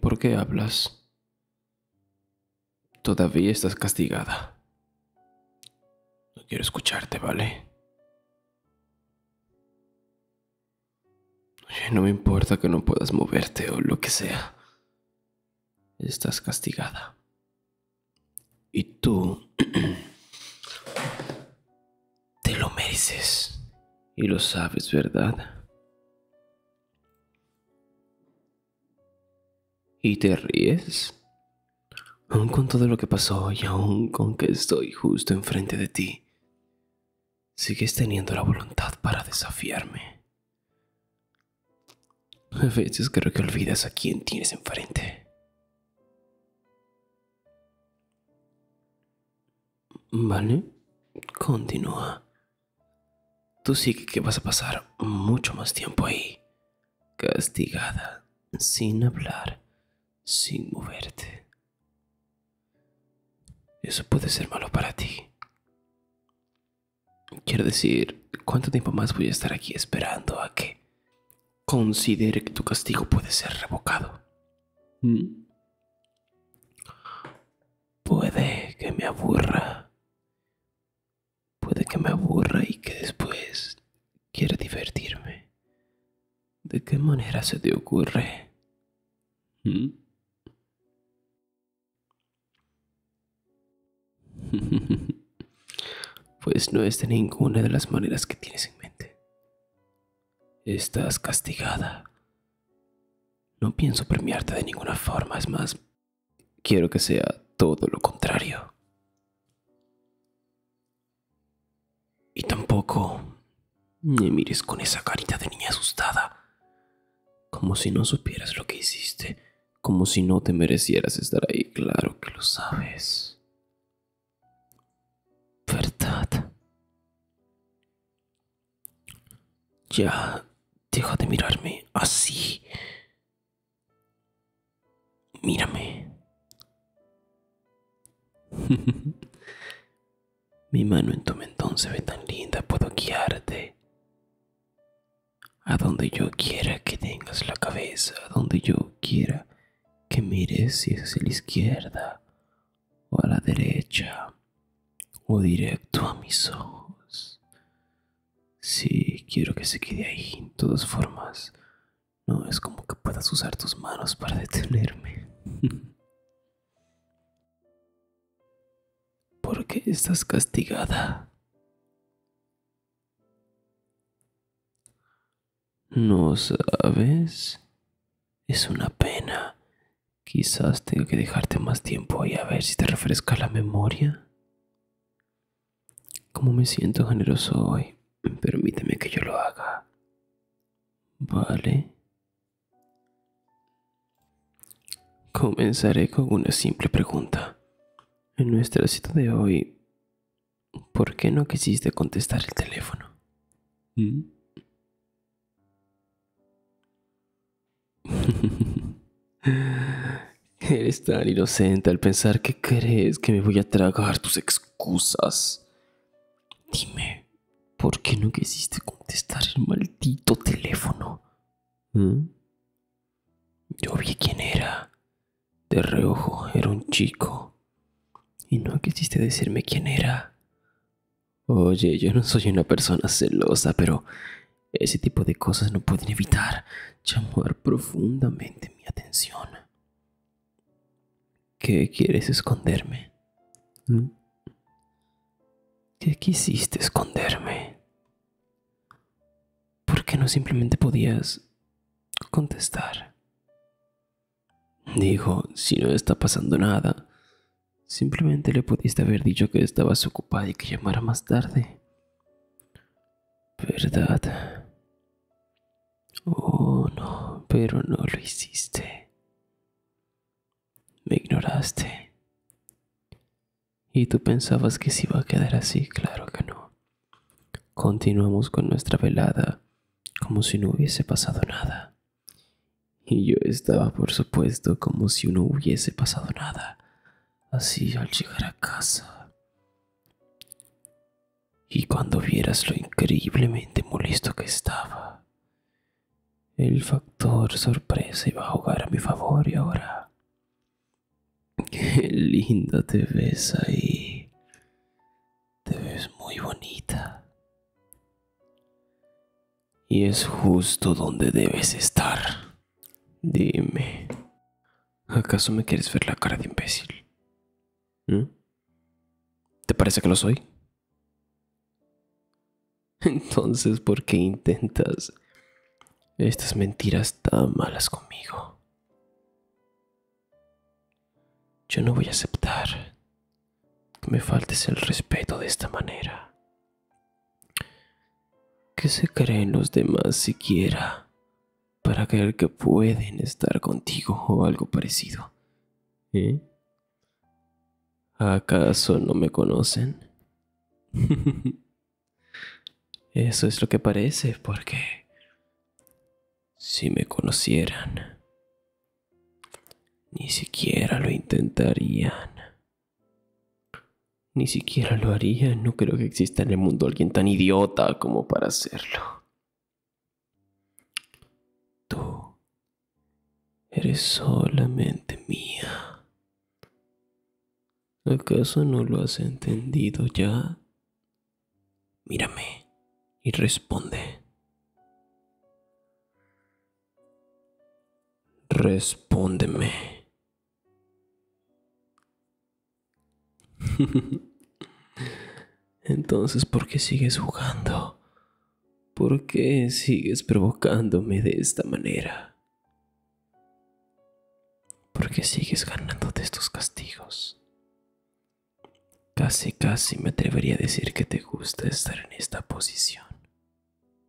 ¿por qué hablas? Todavía estás castigada. No quiero escucharte, ¿vale? Oye, no me importa que no puedas moverte o lo que sea. Estás castigada. Y tú te lo mereces. Y lo sabes, ¿verdad? ¿Y te ríes? Aún con todo lo que pasó y aún con que estoy justo enfrente de ti, sigues teniendo la voluntad para desafiarme. A veces creo que olvidas a quien tienes enfrente. ¿Vale? Continúa. Tú sí que vas a pasar mucho más tiempo ahí, castigada, sin hablar, sin moverte. Eso puede ser malo para ti. Quiero decir, ¿cuánto tiempo más voy a estar aquí esperando a que considere que tu castigo puede ser revocado? ¿Mm? Puede que me aburra. Puede que me aburra y que después quiera divertirme. ¿De qué manera se te ocurre? ¿Mm? pues no es de ninguna de las maneras que tienes en mente. Estás castigada. No pienso premiarte de ninguna forma, es más, quiero que sea todo lo contrario. Y tampoco me mires con esa carita de niña asustada, como si no supieras lo que hiciste como si no te merecieras estar ahí. Claro que lo sabes. Verdad. Ya, deja de mirarme así. Mírame. Mi mano en tu mentón se ve tan linda, puedo guiarte a donde yo quiera que tengas la cabeza, a donde yo quiera que mires, si es hacia la izquierda o a la derecha o directo a mis ojos. si quiero que se quede ahí, en todas formas. No es como que puedas usar tus manos para detenerme. ¿Por qué estás castigada. No sabes. Es una pena. Quizás tenga que dejarte más tiempo y a ver si te refresca la memoria. ¿Cómo me siento generoso hoy, permíteme que yo lo haga. Vale. Comenzaré con una simple pregunta. En nuestra cita de hoy, ¿por qué no quisiste contestar el teléfono? ¿Mm? Eres tan inocente al pensar que crees que me voy a tragar tus excusas. Dime, ¿por qué no quisiste contestar el maldito teléfono? ¿Mm? Yo vi quién era. De reojo, era un chico. Y no quisiste decirme quién era. Oye, yo no soy una persona celosa, pero ese tipo de cosas no pueden evitar llamar profundamente mi atención. ¿Qué quieres esconderme? ¿Mm? ¿Qué quisiste esconderme? ¿Por qué no simplemente podías contestar? Dijo, si no está pasando nada, simplemente le pudiste haber dicho que estabas ocupada y que llamara más tarde. ¿Verdad? Oh, no, pero no lo hiciste. Me ignoraste. Y tú pensabas que se iba a quedar así, claro que no. Continuamos con nuestra velada como si no hubiese pasado nada. Y yo estaba, por supuesto, como si no hubiese pasado nada. Así al llegar a casa. Y cuando vieras lo increíblemente molesto que estaba, el factor sorpresa iba a jugar a mi favor y ahora Qué linda te ves ahí. Te ves muy bonita. Y es justo donde debes estar. Dime, ¿acaso me quieres ver la cara de imbécil? ¿Mm? ¿Te parece que lo soy? Entonces, ¿por qué intentas estas mentiras tan malas conmigo? Yo no voy a aceptar que me faltes el respeto de esta manera. ¿Qué se creen los demás siquiera para creer que pueden estar contigo o algo parecido? ¿Eh? ¿Acaso no me conocen? Eso es lo que parece, porque si me conocieran, ni siquiera lo intentarían. Ni siquiera lo harían. No creo que exista en el mundo alguien tan idiota como para hacerlo. Tú eres solamente mía. ¿Acaso no lo has entendido ya? Mírame y responde. Respóndeme. Entonces, ¿por qué sigues jugando? ¿Por qué sigues provocándome de esta manera? Porque sigues ganándote estos castigos. Casi, casi me atrevería a decir que te gusta estar en esta posición.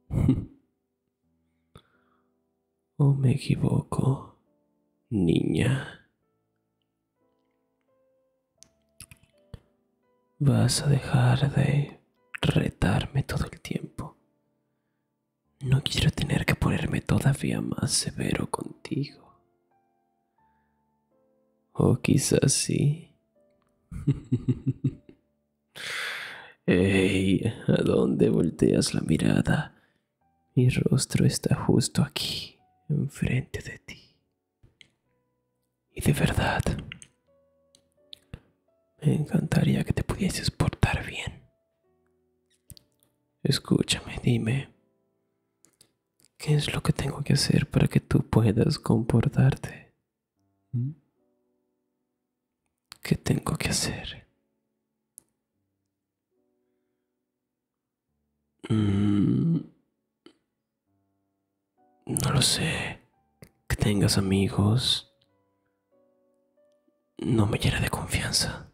¿O me equivoco, niña? Vas a dejar de retarme todo el tiempo no quiero tener que ponerme todavía más severo contigo. O quizás sí. ¡Ey! ¿A dónde volteas la mirada? Mi rostro está justo aquí, enfrente de ti. Y de verdad, me encantaría que te pudieses portar bien. Escúchame, dime. ¿Qué es lo que tengo que hacer para que tú puedas comportarte? ¿Mm? ¿Qué tengo que hacer? Mm, no lo sé. Que tengas amigos no me llena de confianza.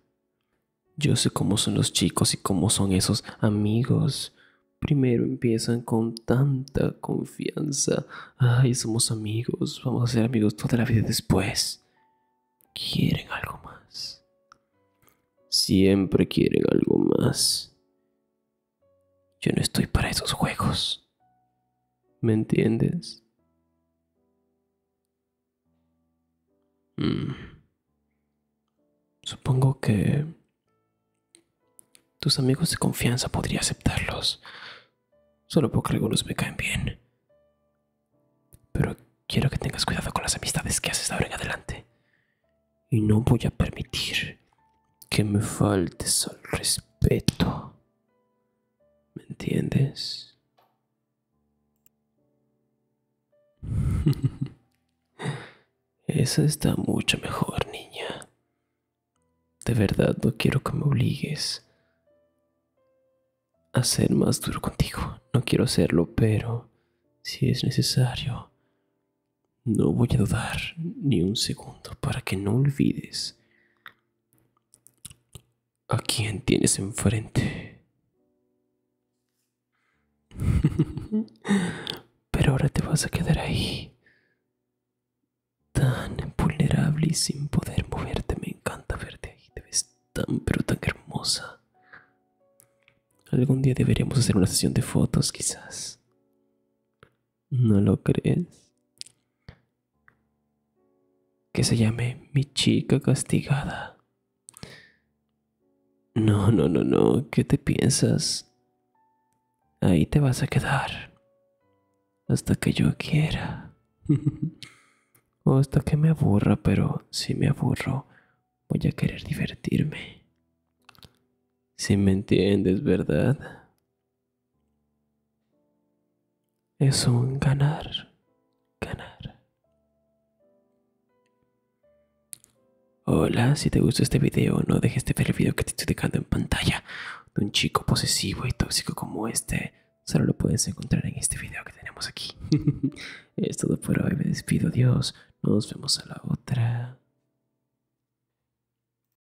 Yo sé cómo son los chicos y cómo son esos amigos. Primero empiezan con tanta confianza. Ay, somos amigos, vamos a ser amigos toda la vida después. Quieren algo más. Siempre quieren algo más. Yo no estoy para esos juegos. ¿Me entiendes? Mm. Supongo que tus amigos de confianza podría aceptarlos, solo porque algunos me caen bien. Pero quiero que tengas cuidado con las amistades que haces ahora en adelante. Y no voy a permitir que me faltes al respeto. ¿Me entiendes? Esa está mucho mejor, niña. De verdad no quiero que me obligues a ser más duro contigo. No quiero hacerlo, pero si es necesario, no voy a dudar ni un segundo para que no olvides ¿A quién tienes enfrente? Pero ahora te vas a quedar ahí. Tan vulnerable y sin poder moverte. Me encanta verte ahí. Te ves tan pero tan hermosa. Algún día deberíamos hacer una sesión de fotos quizás. ¿No lo crees? Que se llame mi chica castigada. No, no, no, no. ¿Qué te piensas? Ahí te vas a quedar. Hasta que yo quiera. o hasta que me aburra, pero si me aburro, voy a querer divertirme. Si me entiendes, ¿verdad? Es un ganar, ganar. Hola, si te gustó este video no dejes de ver el video que te estoy dejando en pantalla de un chico posesivo y tóxico como este. Solo lo puedes encontrar en este video que tenemos aquí. es todo por hoy, me despido, Dios. Nos vemos a la otra.